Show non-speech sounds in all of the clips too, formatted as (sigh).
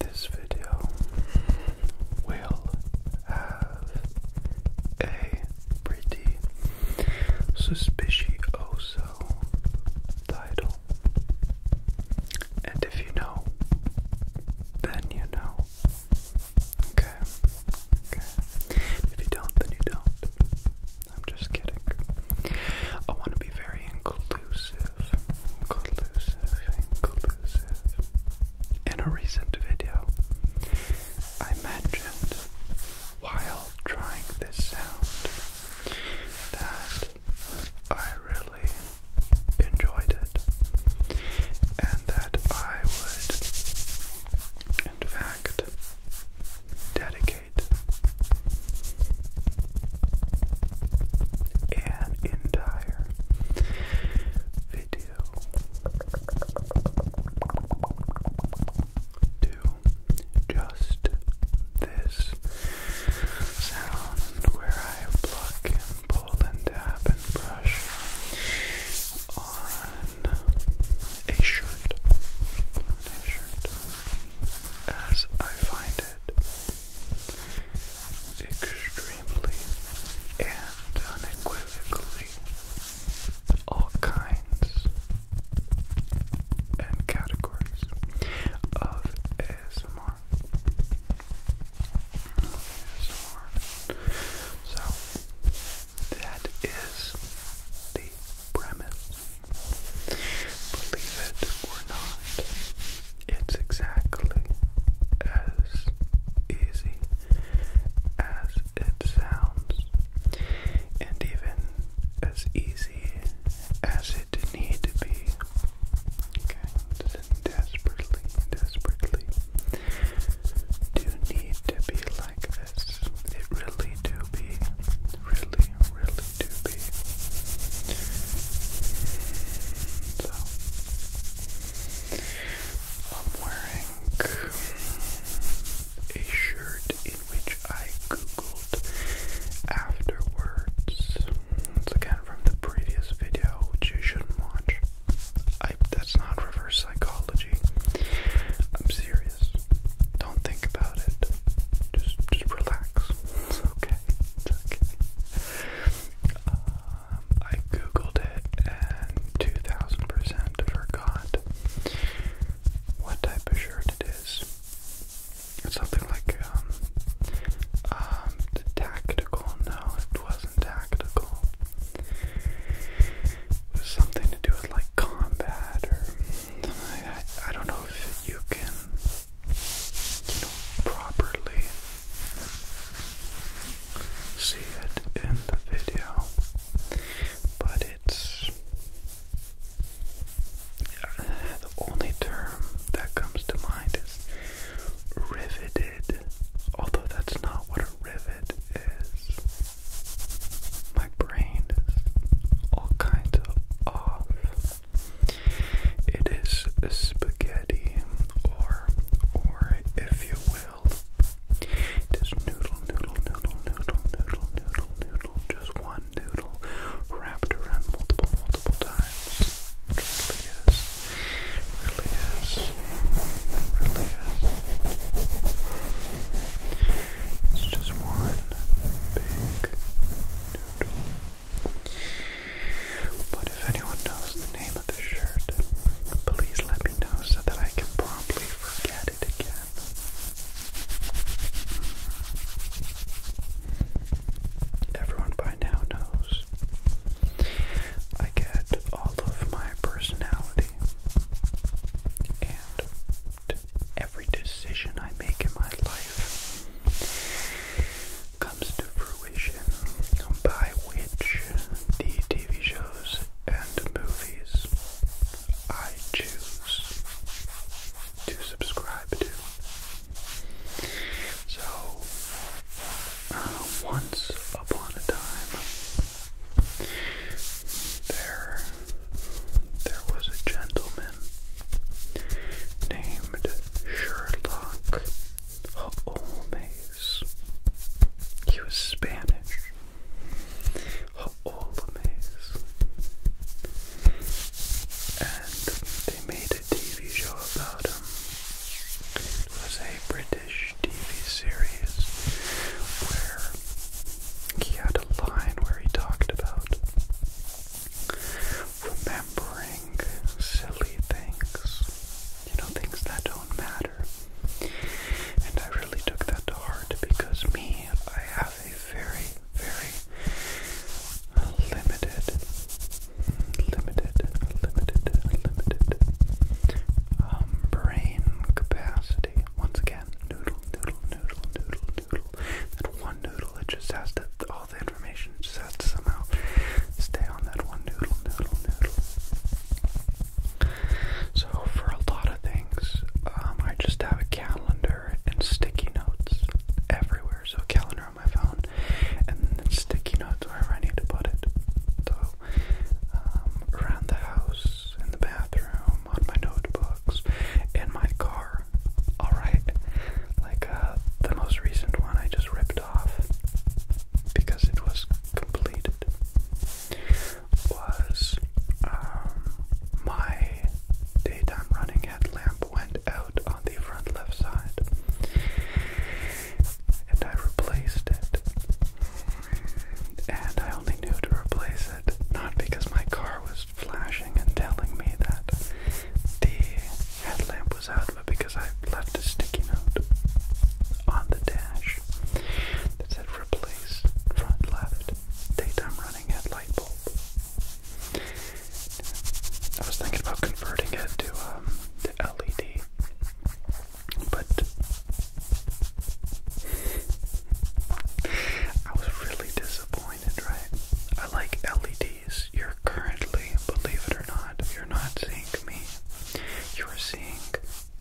This video will have a pretty suspicioso title. And if you know, then you know. Okay. Okay. If you don't, then you don't. I'm just kidding. I want to be very inclusive, inclusive, inclusive. In a recent video, I mentioned while trying this sound that I really enjoyed it and that I would, in fact, dedicate an entire video to just this sound where I pluck and pull and tap and brush On a shirt as I find it extremely and unequivocally all kinds and categories of ASMR. ASMR. So that is the premise Believe it or not, it's exactly as easy as it sounds, and even as easy as it need to be. Okay, doesn't desperately, desperately do need to be like it really do be. Really, really do be. So I'm wearing a shirt in which I googled afterwards. It's again from the previous video, which you shouldn't watch. I, that's not reverse psychology. I'm serious. Don't think about it just just relax. It's okay. It's okay. Um, I googled it and two thousand percent forgot what type of shirt it is. something like um um tactical. No, it wasn't tactical. It was something to do with like combat or I, don't know if you can, you know, properly see it in the video, but it's the only term that comes to mind is riveted, although that's not what a rivet is. My brain is all kinds of off. It is spaghetti, or, or if you will, it is noodle, noodle, noodle, noodle, noodle, noodle, noodle, just one noodle wrapped around multiple, multiple times. really is. Really is. Really is. It's just one big noodle. But if anyone knows the name of the shirt, please let me know so that I can promptly forget it again. Everyone by now knows. I get all of my personality and every decision I make in my life comes to fruition, by which the TV shows and movies I choose to subscribe to. So, uh, once upon a time, there, there was a gentleman named Sherlock Holmes. He was Spanish. Holmes. And they made a TV show about him. It was a British TV series where he had a line where he talked about remembering silly things, you know, things that don't matter. And I really took that to heart because me, I have a very, very limited, limited, limited, limited um, brain capacity complexity. Once again, noodle, noodle, noodle, noodle, noodle. That one noodle, it just has to, all the information just has to somehow stay on that one noodle, noodle, noodle. So for a lot of things, um, I just have a calendar and sticky notes everywhere. So calendar on my phone, and sticky notes wherever I need to put it. So um, around the house, in the bathroom, on my notebooks, in my car. Alright? Like, uh, the most recent one I just ripped off because it was completed was um, my daytime running headlamp went out on the front left side and I replaced it and I only knew to replace it not because my car was flashing and telling me that the headlamp was out, but because I left a sticky note on the dash that said replace front left daytime running headlight bulb. I was thinking about converting it to um, the LED. But I was really disappointed, right? I like LEDs. You're currently, believe it or not, you're not seeing me. You're seeing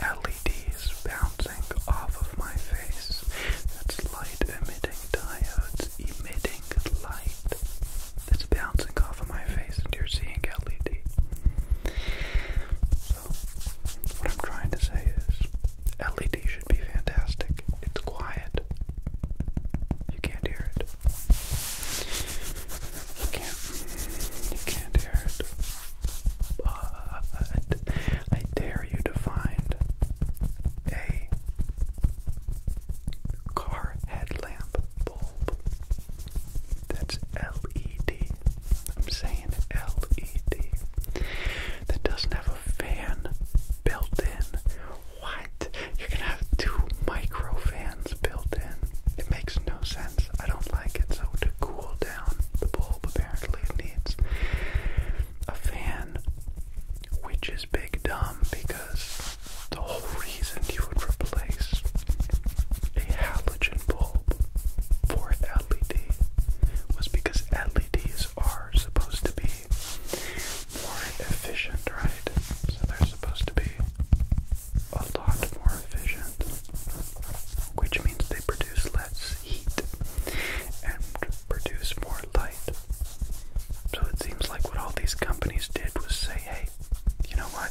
LEDs bouncing off of my face. That's light emitting diodes emitting light that's bouncing off of my face, and you're seeing LED what I'm trying to say is LED should be fantastic. It's quiet. You can't hear it. You can't, you can't hear it. But uh, I dare you to find a car headlamp bulb that's LED. I'm saying LED, that doesn't have a fan built in. What? You're gonna have two micro fans built in. It makes no sense. I don't like it. So to cool down the bulb, apparently needs a fan, which is big dumb because the whole reason you would replace a halogen bulb for LED was because LEDs are supposed to be more efficient, right? So they're supposed to be a lot more efficient, which means they produce less heat and produce more light. So it seems like what all these companies did was say, hey, you know what?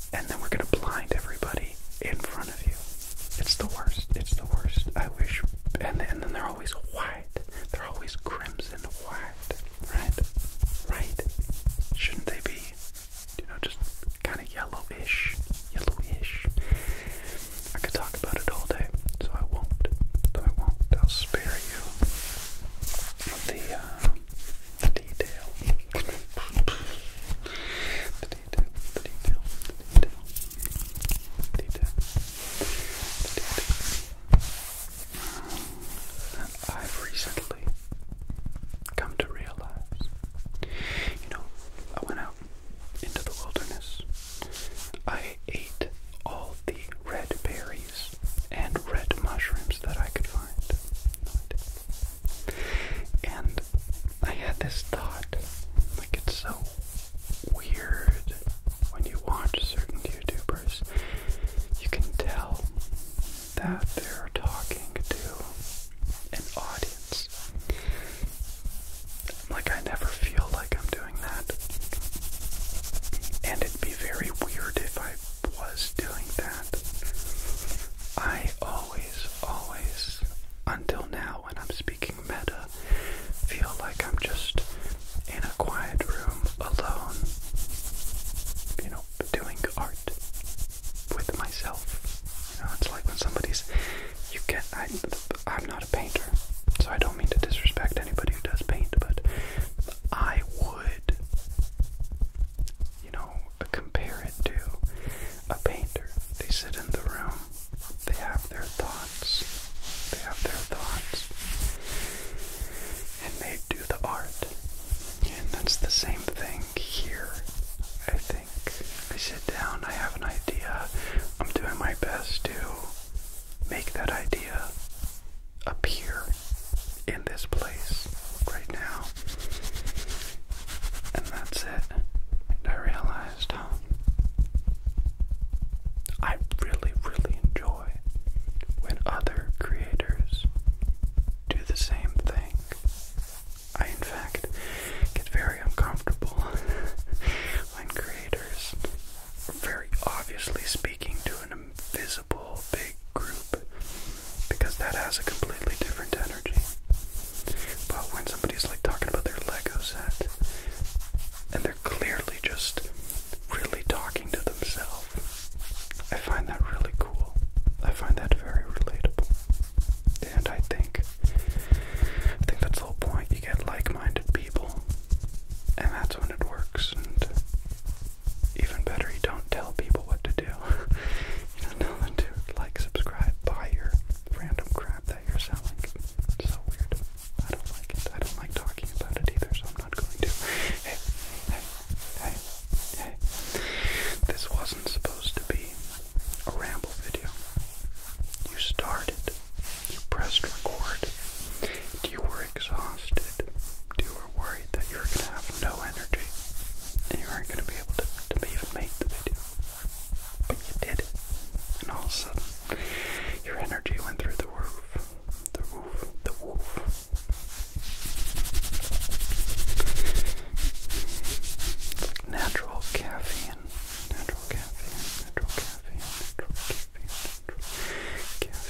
and then we're gonna blind everybody in front of you. It's the worst. It's the worst. I wish. And, then they're always white. They're always crimson white. Right? Right? Shouldn't they be, you know, just kind of yellowish? Yellowish. I could talk about it all day, so I won't. So I won't. I'll spare you the, uh, the detail. the detail, the detail, the detail, the detail, I've recently come to realize, you know, I went out into the wilderness. I ate all the red berries and red mushrooms that I could find. And I had this thought, like it's so weird when you watch certain YouTubers, you can tell that they're talking to an audience. Like I never feel like I'm doing that. And it'd be very weird if I was doing that. I always, always, until now when I'm speaking meta, feel like I'm just in a quiet room alone, you know, doing art with myself. You know, it's like when somebody's, you can't. I'm not a painter, so I don't mean to disrespect anybody who does paint, but I would you know, compare it to a painter. They sit in the room, they have their thoughts, they have their thoughts, and they do the art. And that's the same thing here, I think. I sit down, I have an idea, I'm doing my best to make that idea up here in this place right now. And that's it. And I realized, huh? I really, really enjoy when other creators do the same thing. I, in fact, get very uncomfortable (laughs) when creators very obviously speaking to an an invisible big group because that has a completely different energy. But when somebody's like talking about their Lego set and they're clearly just really talking to themselves, I find that really cool. I find that very relatable. And I think I think that's the whole point. You get like minded people and that's when it works even better, you don't tell people what to do. (laughs) you don't tell them to like, subscribe, buy your random crap that you're selling. so weird. I don't like it. I don't like talking about it either, so I'm not going to. Hey, hey, hey, hey. This wasn't supposed to be a ramble video. You started. You pressed record. You were exhausted were worried that you were going to have no energy and you weren't going to be able to, to even make the video. But you did And all of a sudden, your energy went through the roof. The roof. The roof. natural caffeine. Natural caffeine. Natural caffeine. Natural caffeine. Natural Caffeine.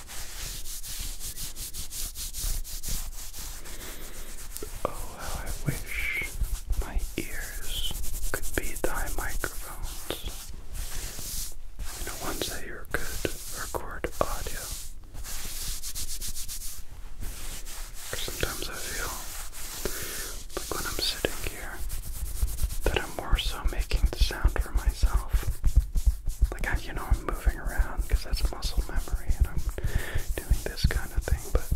Oh, how I wish my ears could be thy microphones. You know, ones that you could record audio. Sometimes I feel like when I'm sitting here that I'm more so making the sound for my like, I, you know, I'm moving around because that's muscle memory and I'm doing this kind of thing, but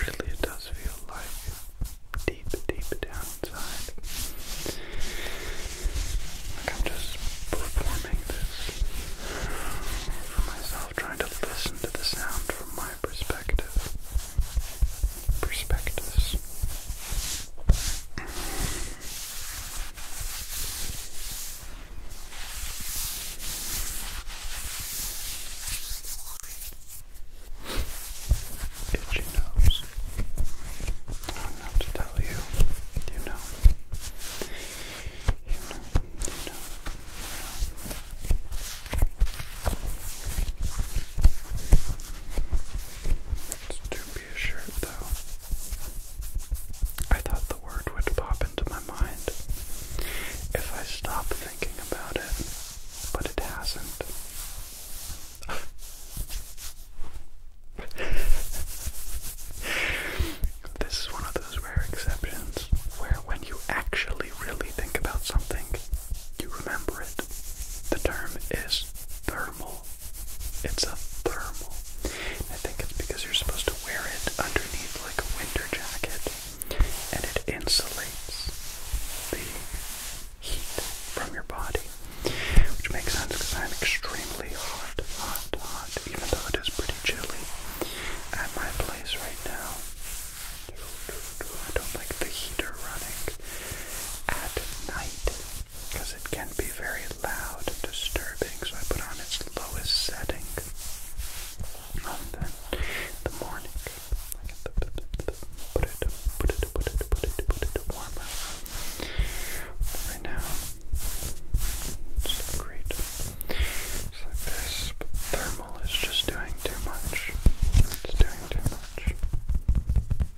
really it does feel like deep, deep down inside. Like, I'm just performing this for myself, trying to listen to the sound from my perspective. Perspectives. Itchy nose. I don't have to tell you. You know. You know. You know. You know. It's too be a though. I thought the word would pop into my mind if I stopped thinking about it, but it hasn't. (laughs) this is one of those rare exceptions where when you actually really think about something, you remember it. The term is thermal it's a thermal. I think it's because you're supposed to wear it underneath like a winter jacket and it insulates the heat from your body. Which makes sense because I'm extremely hot, hot, hot, even though it is pretty chilly at my place right now. I don't like the heater running at night because it can be very loud and disturbing. So I put on its lowest setting on the, the morning. I can put it, put it, put it, put it, put it, put it warmer. Right now, it's great. like this, thermal is just doing too much. It's doing too much.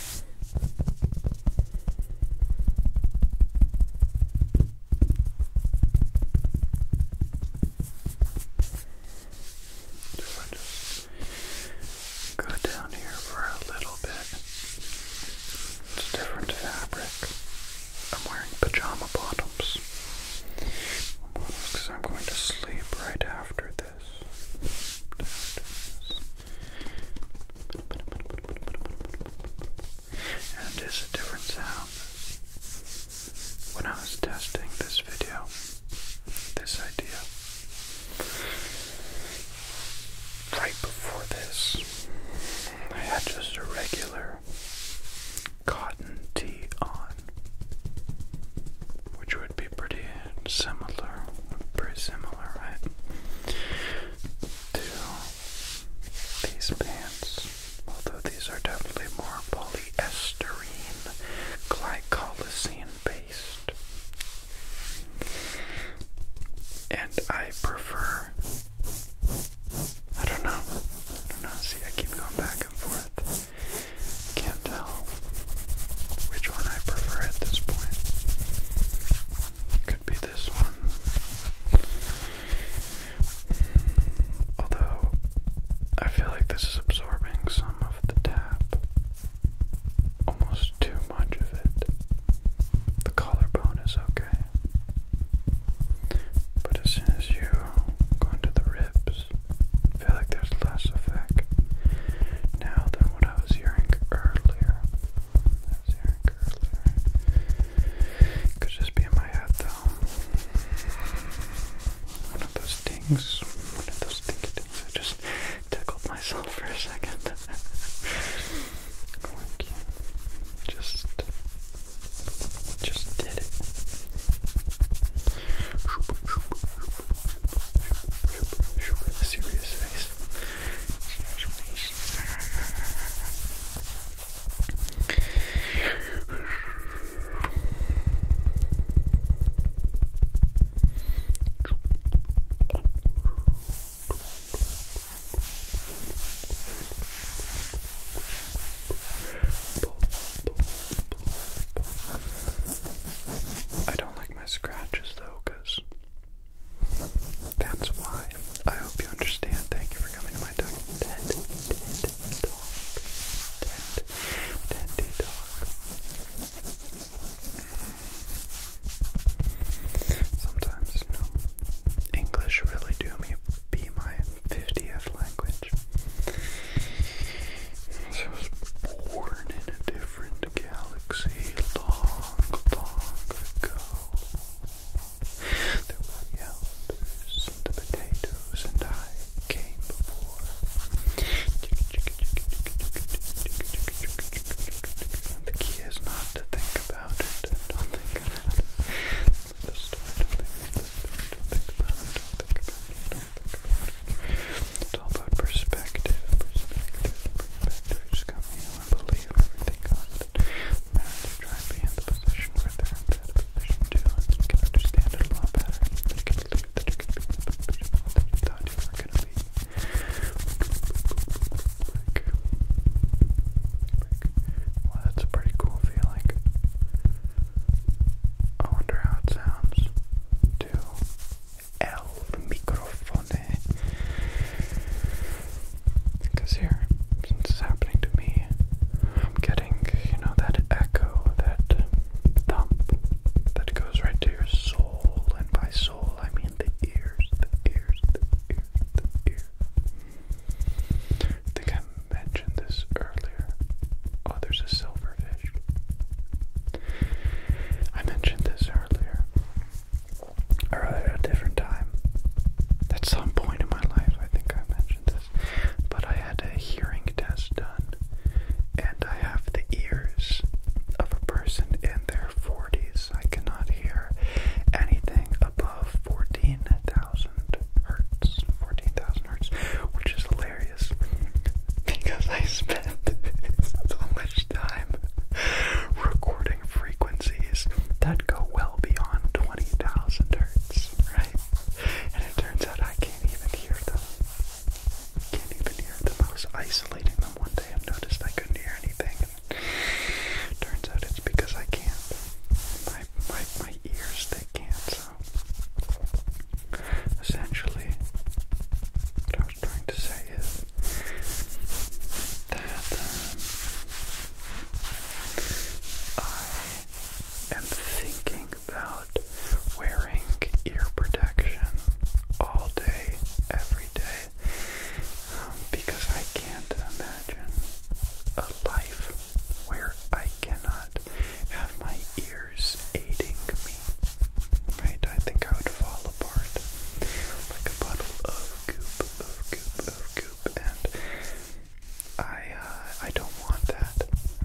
So I just go down here for a little bit. It's different fabric. I'm wearing pajama bottoms because I'm going to sleep right After this. And it's a different sound. When I was testing this video, this idea, right before this, I had just a regular cotton tee on, which would be pretty similar, pretty similar, right? to these pants, although these are definitely more polyesterine, glycolysine based. And I prefer, I don't know, I don't know, see I keep going back and forth, can't tell which one I prefer at this point be this one. Although, I feel like this is absorbing some of the tap. Almost too much of it. The collarbone is okay. But as soon as you go into the ribs, feel like there's less effect now than what I was hearing earlier. Could just be in my head though. One of those things. One of those things. I just tickled myself for a second. Just just did it. Serious face. It's usually I don't like my scratches though, because that's why. I hope you understand. Thank you for coming to my TED TED talk. TED TED talk. Sometimes, you English really do me be my fiftieth language. So I was born in a different different galaxy long, long ago. There were the and potatoes, and I came before. The key is not to think about it. Don't think about it. don't think, the story, don't think about it. Don't think about it. Don't think about it. It's all about perspective. Perspective. Perspective and believe everything comes. Now to try and be in the position where they're in that position too, understand it a lot better. You can believe that you can be in the position that thought you going to be. Well, that's a pretty cool feeling. I wonder how it sounds to el microfone. Because here, since it's happening to me, I'm getting, you know, that echo, that thump that goes right to your soul. And by soul, I mean the ears, the ears, the ears, the ears. I think I mentioned this earlier. Oh, there's a silverfish. I mentioned this earlier at a different time. At some point in my life, I think I mentioned this, but I had a hearing test done, and I have the ears of a person in their 40s. I cannot hear anything above 14,000 hertz, 14,000 hertz, which is hilarious because I spent (laughs) so much time (laughs) recording frequencies that go well beyond 20,000 hertz, right? And it turns out I can't even hear them. Can't even hear them. I was isolating them one day and noticed I couldn't hear anything. turns out it's because I can't. My, my, my ears, they can't. So essentially, what I was trying to say is that um, I am thinking about wearing ear protection all day, every day, um, because I can't imagine a life where I cannot have my ears aiding me Right? I think I would fall apart like a bottle of goop, of goop, of goop, and I, uh, I don't want that.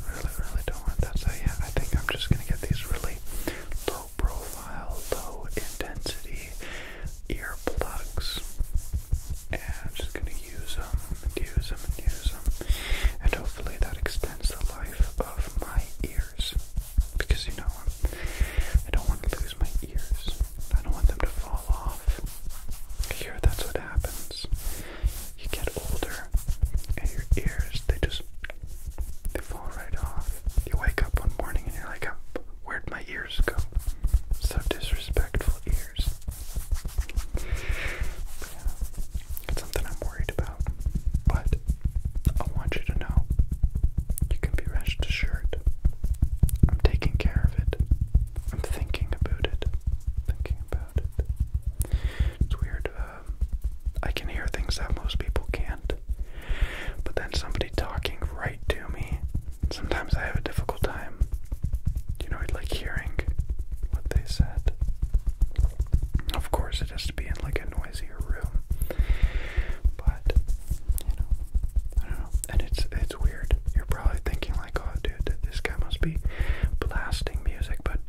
really, really don't want that. So yeah, I think I'm just gonna get these really low profile, low intensity earplugs, and I'm just gonna use them, and use them, and use them, and hopefully that extends the life of my ears because you know I don't want to lose my ears. I don't want them to fall off. Here, that's what happens. You get older, and your ears they just they fall right off. You wake up one morning and you're like, oh, "Where'd my ears go?" So disrespectful ears. it's something I'm worried about, but I want you to know you can be rest assured. I'm taking care of it. I'm thinking about it. Thinking about it. It's weird. Uh, I can hear things that most people can't. But then somebody talking right to me, sometimes I have a difficult time. You know, I'd like hearing what they said. Of course, it has to be in like a noisy your room. But you know, I don't know. And it's it's weird. You're probably thinking like, oh, dude, this guy must be blasting music. But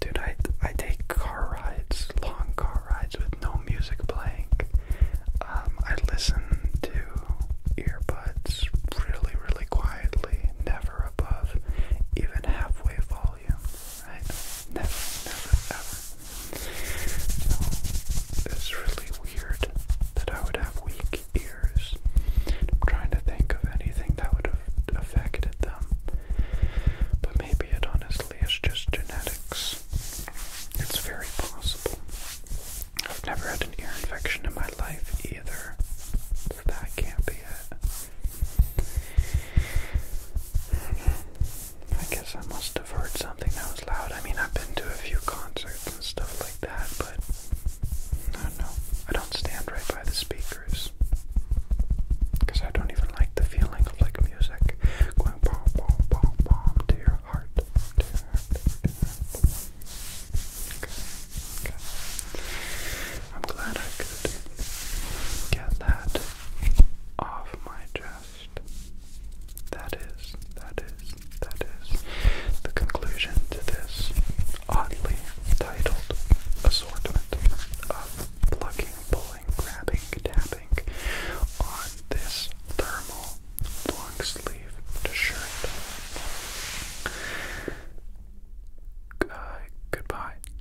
dude, I I take car rides, long car rides with no music playing. Um, I listen to earbuds really, really quietly, never above even halfway volume right? Never, never, ever. So, it's really weird that I would have weak ears. I'm trying to think of anything that would have affected them. But maybe it honestly is just genetics. It's very possible. I've never had an ear infection in my life either. So that can't be it. I guess I must have heard something that was loud. I mean, I've been to a few concerts and stuff like that, but I don't I don't stand right by the speakers because I don't even like the feeling of like music going bomb, bomb, bomb, bomb to your heart, to your heart, I'm glad I could get that off my chest. That is, that is, that is the conclusion to this oddly titled assortment of plucking, pulling, grabbing, tapping on this thermal long sleeve shirt. Uh, goodbye.